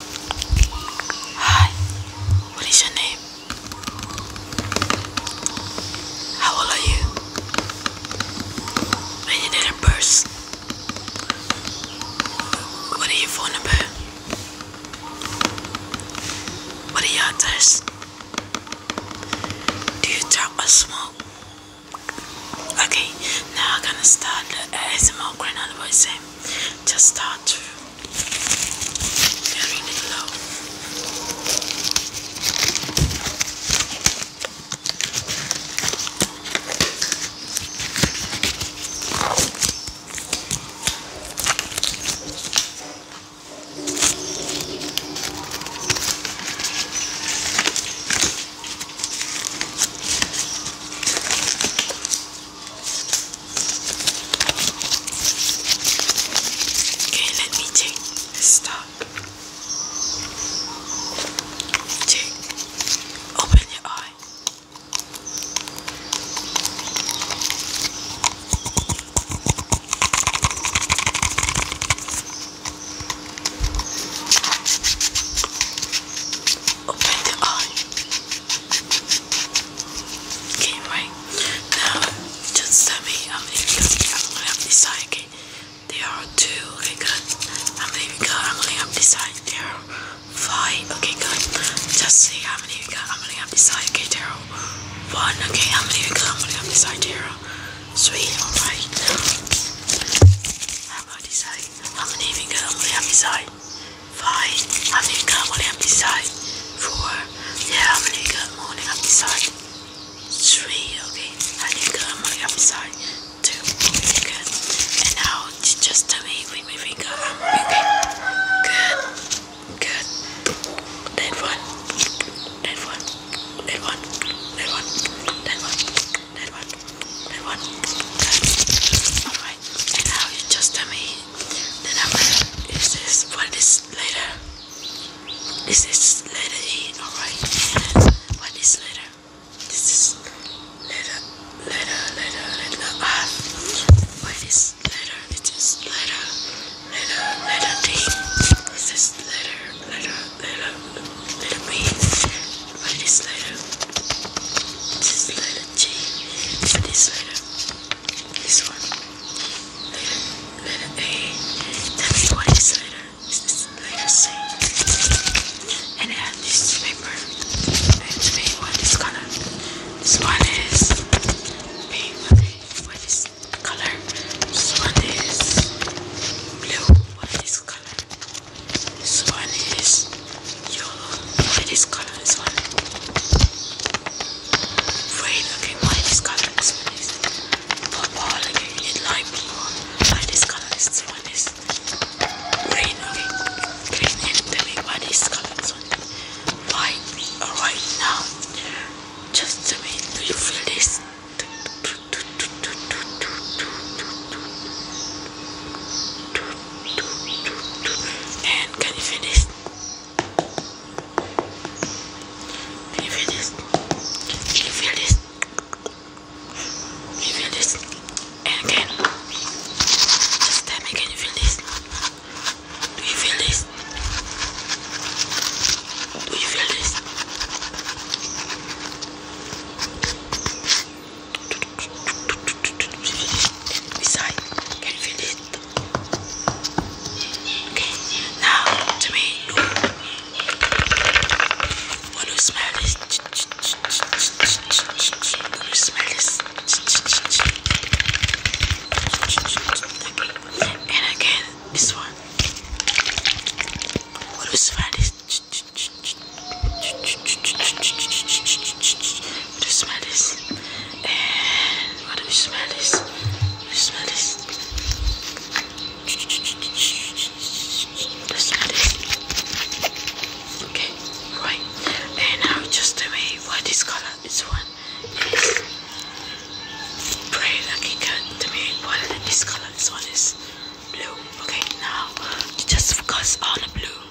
Hi, what is your name? How old are you? When you did a burst? What is your phone number? What are your address? Do you talk or smoke? Okay, now I'm gonna start the ASMR Green Voice just start to very low. Okay, let me take this top. Check. Open your eye. Open the eye. Okay, right. Now, just tell me how many because I'm going to have this side, okay? There are two, okay, good. How many we got? I'm going to have this side. There five, okay, good. Just see how many we got. I'm going to have this side, okay, one, okay, how many we got? I'm going to have this side, there are three, alright. How about this side? How many we got? I'm going to have this side five America morning episode, four yeah America morning episode, three okay America morning episode, two good, and now just tell me with my finger I'm okay, good, good, that one, that one, that one, that one, that one, that one, that one, and now you just tell me the number. Is this what is later? Is this letter E? Alright. What is letter? This is letter, letter, letter, letter R. Ah. What is letter? It is letter, letter, letter D. This is letter, letter, letter, letter B. What is letter? This is letter G. What is letter? This one. Letter, letter A. Tell me this letter C? And I this paper. And to me, what is color? This one is pink. What is color? This one is blue. What is color? This one is Yo, look this color, this one. Red, okay, why this color is nice. Purple, okay, you need lime purple. this color is one is green, okay. Green and tell me why this color is one. Why, alright, now, just tell me, do you feel this? And can you finish? Can you feel this? Can you feel this? Can you feel this? again. Just tell me, can you feel this? Do you feel this? Do you feel this? Beside, can you feel this? Okay, now to me, when you smell this, when you smell this, again, this one, when you smell this. We just smell this. And what do we smell this? We smell this. Just smell this. Okay, right. And now just tell me what this color, this one is. Pray like you can tell me what this color, this one is blue. Okay, now just focus on the blue.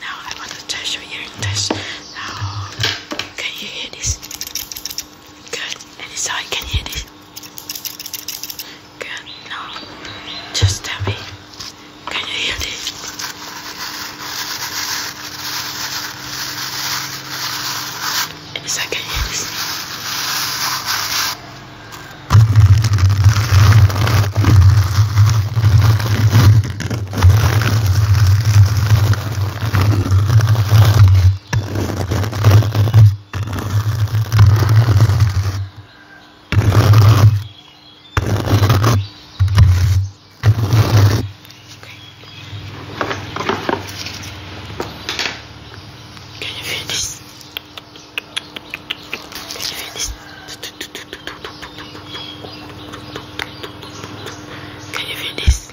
Now I want to test your hearing test. Now, can you hear this? Good. Any side can you hear this? Good. Now, just tell me. Can you hear this? Any side can you hear this? Can you feel this? Can you feel this? Can you feel this?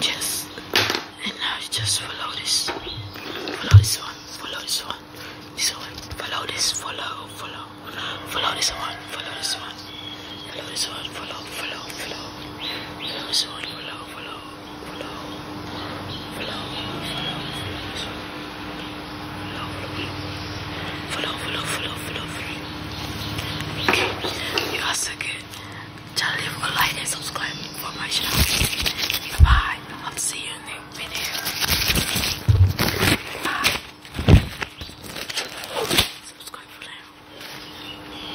Yes. And now you just follow this. Follow this one. Follow this one. This one. Follow this. Follow. Follow. Follow this one. Follow this one. Follow this one. Follow. Follow. Follow. Follow this one. Follow follow, follow, follow, follow, follow. Okay, you are so good. Just leave a like and subscribe for my channel. Bye. I'll see you in the video. Bye. Subscribe for now.